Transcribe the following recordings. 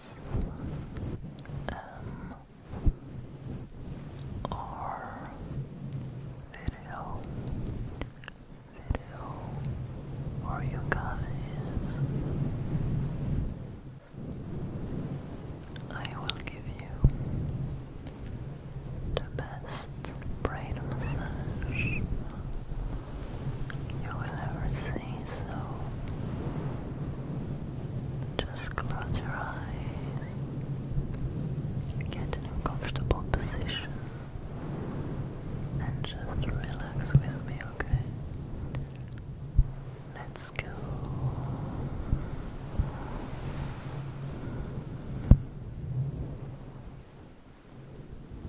S M R video video or you guys I will give you the best brain massage you will never say so. Just close your eyes. Get in a comfortable position. And just relax with me, okay? Let's go.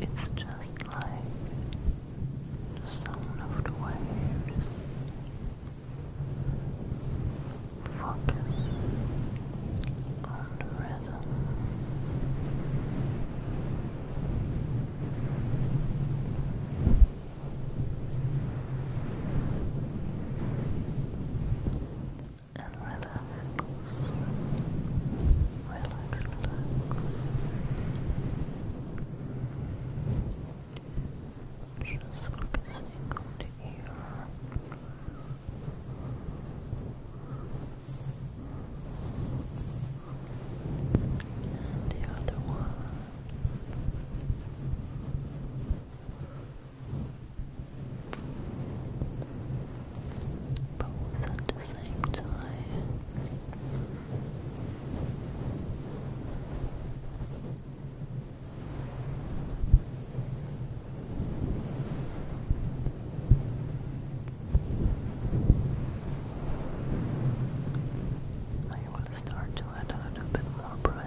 It's just like the sound of the waves. Focus on the rhythm and relax, relax, relax. Just focusing on the ear. the other one but also at the same time I will start to add a bit more pressure.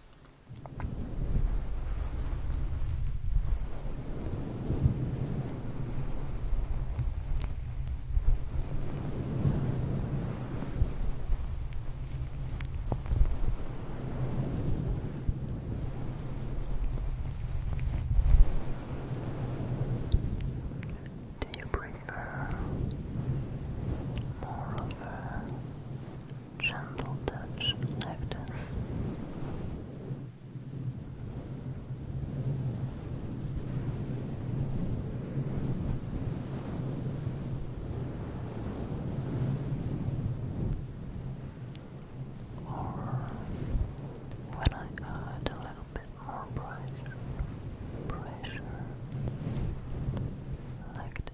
Do you prefer more of gentle touch like this. Or when I add a little bit more pressure, pressure like this.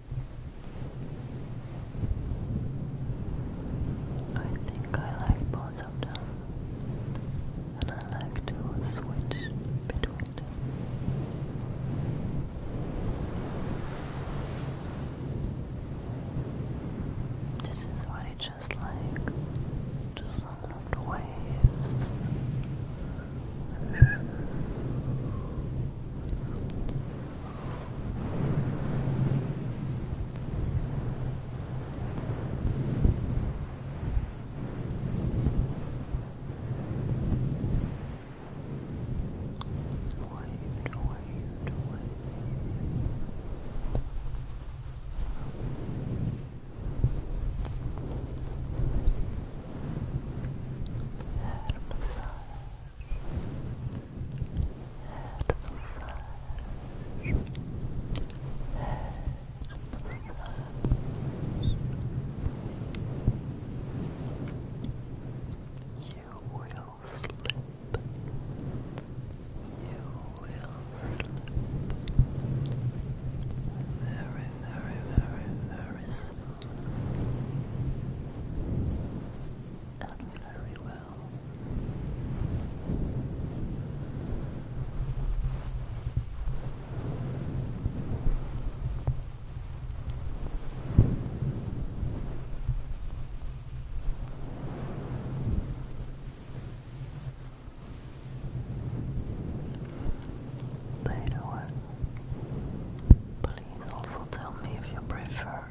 I think I like both of them, and I like to switch between This is what I just like, the sound of the waves waved, waved, waved. Waved, Head massage. You will slip. You will slip. Very, very, very, very and very well. Later one, but please also tell me if you prefer.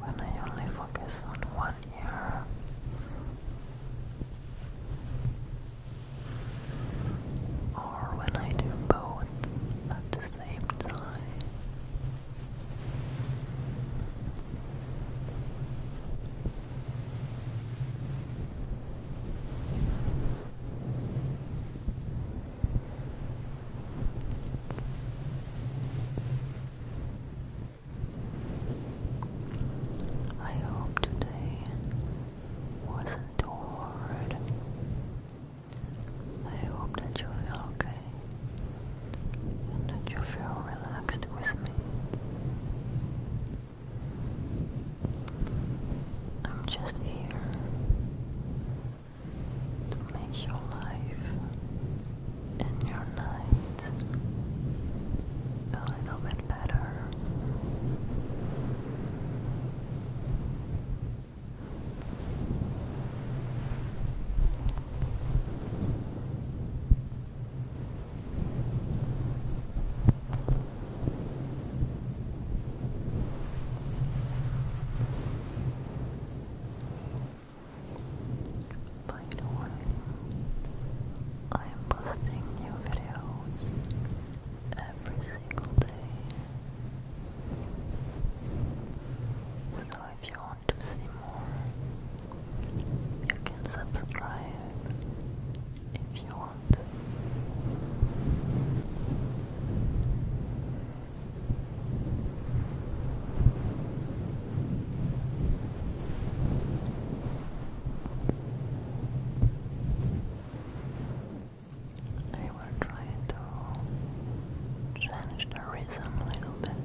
When I only focus on one ear, or when I do both at the same time. I hope today wasn't too hard. I hope that you feel okay and that you feel relaxed with me. I'm just here to make your life and your night a little bit better. By the way, I am posting new videos every single day if you want to see more, you can subscribe if you want. I will try to change the rhythm a little bit.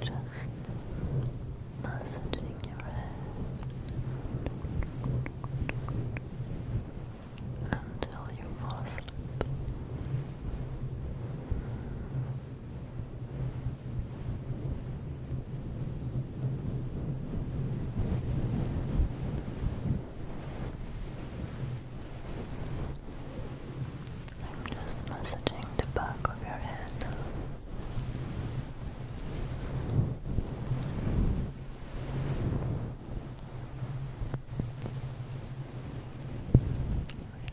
Just massaging your head until you fall asleep. I'm just massaging the back of your head.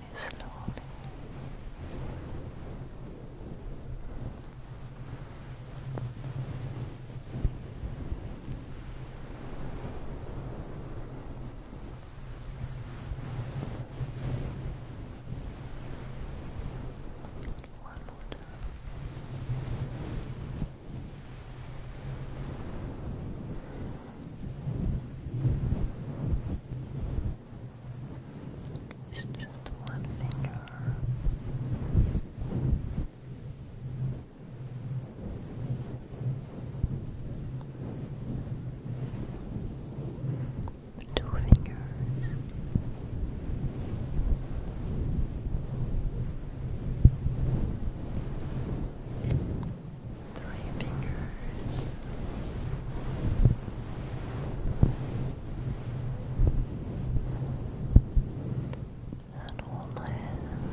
Really slowly. One more time. It's just one finger. Two fingers. Three fingers and hold my hands. Really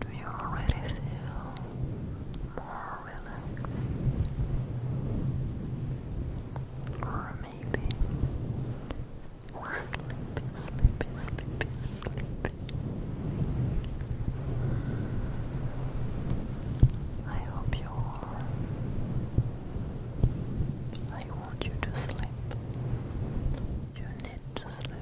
do you already feel more relaxed? Or maybe Sleepy, sleepy, sleepy, sleepy. I hope you are. I want you to sleep. You need to sleep.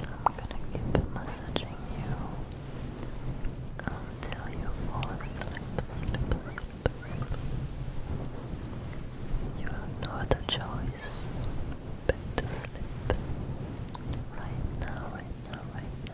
I'm gonna keep massaging you until you fall asleep, You have no other choice but to sleep. Right now, right now, right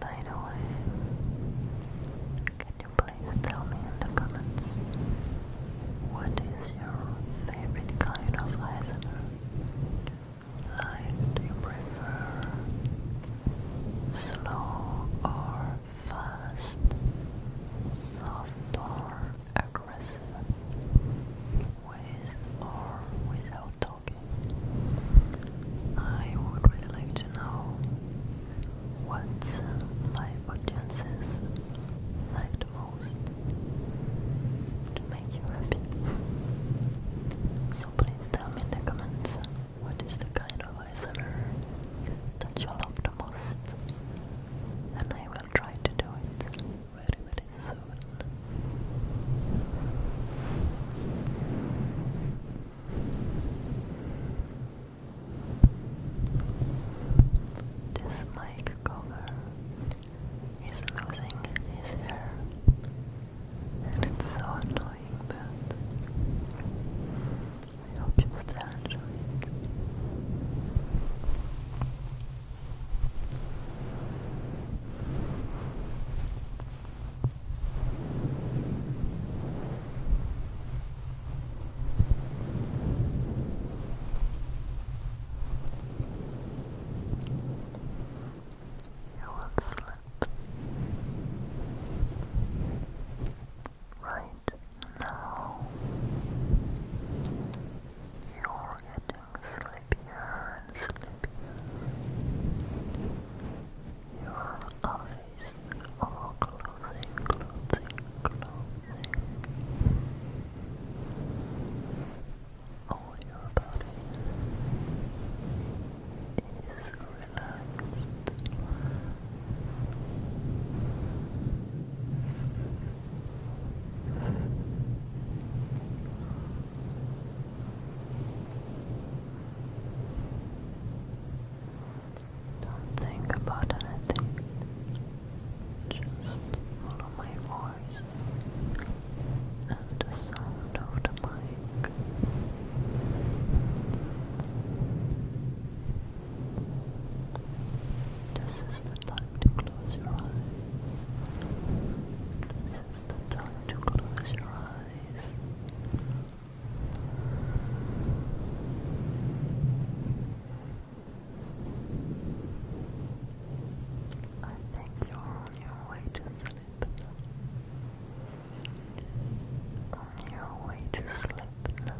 By the way, can you please tell me in the comments what is your favorite kind of ASMR? Like, do slow or fast, soft or aggressive, with or without okay? I would really like to know what my audiences like the most make you happy. So please tell me in the comments what is the kind of eyesore that you love the most and I will try to do it very very soon soon. This mic cover is losing his hair, and it's so annoying, but I hope you still you will slip right now. You're getting slippier and slippier. Your eyes are closing, closing, closing. All your body is relaxed. Don't think about anything. Just follow my voice and the sound of the This is the time to close your eyes is the time to close your eyes. I think you're on your way to sleep On your way to sleep now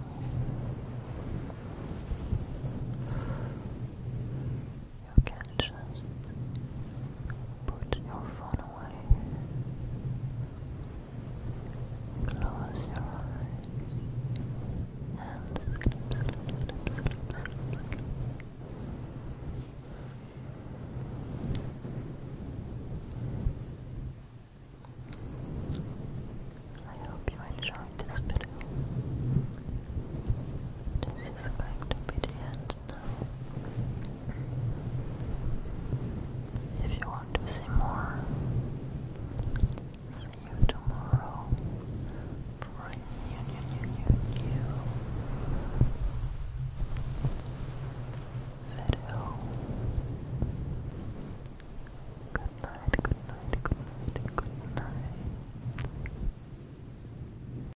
you can just put your phone away, close your eyes, and I hope you enjoyed this video. This is going to be the end if you want to see more, see you tomorrow for Good night, good night, good night, good night.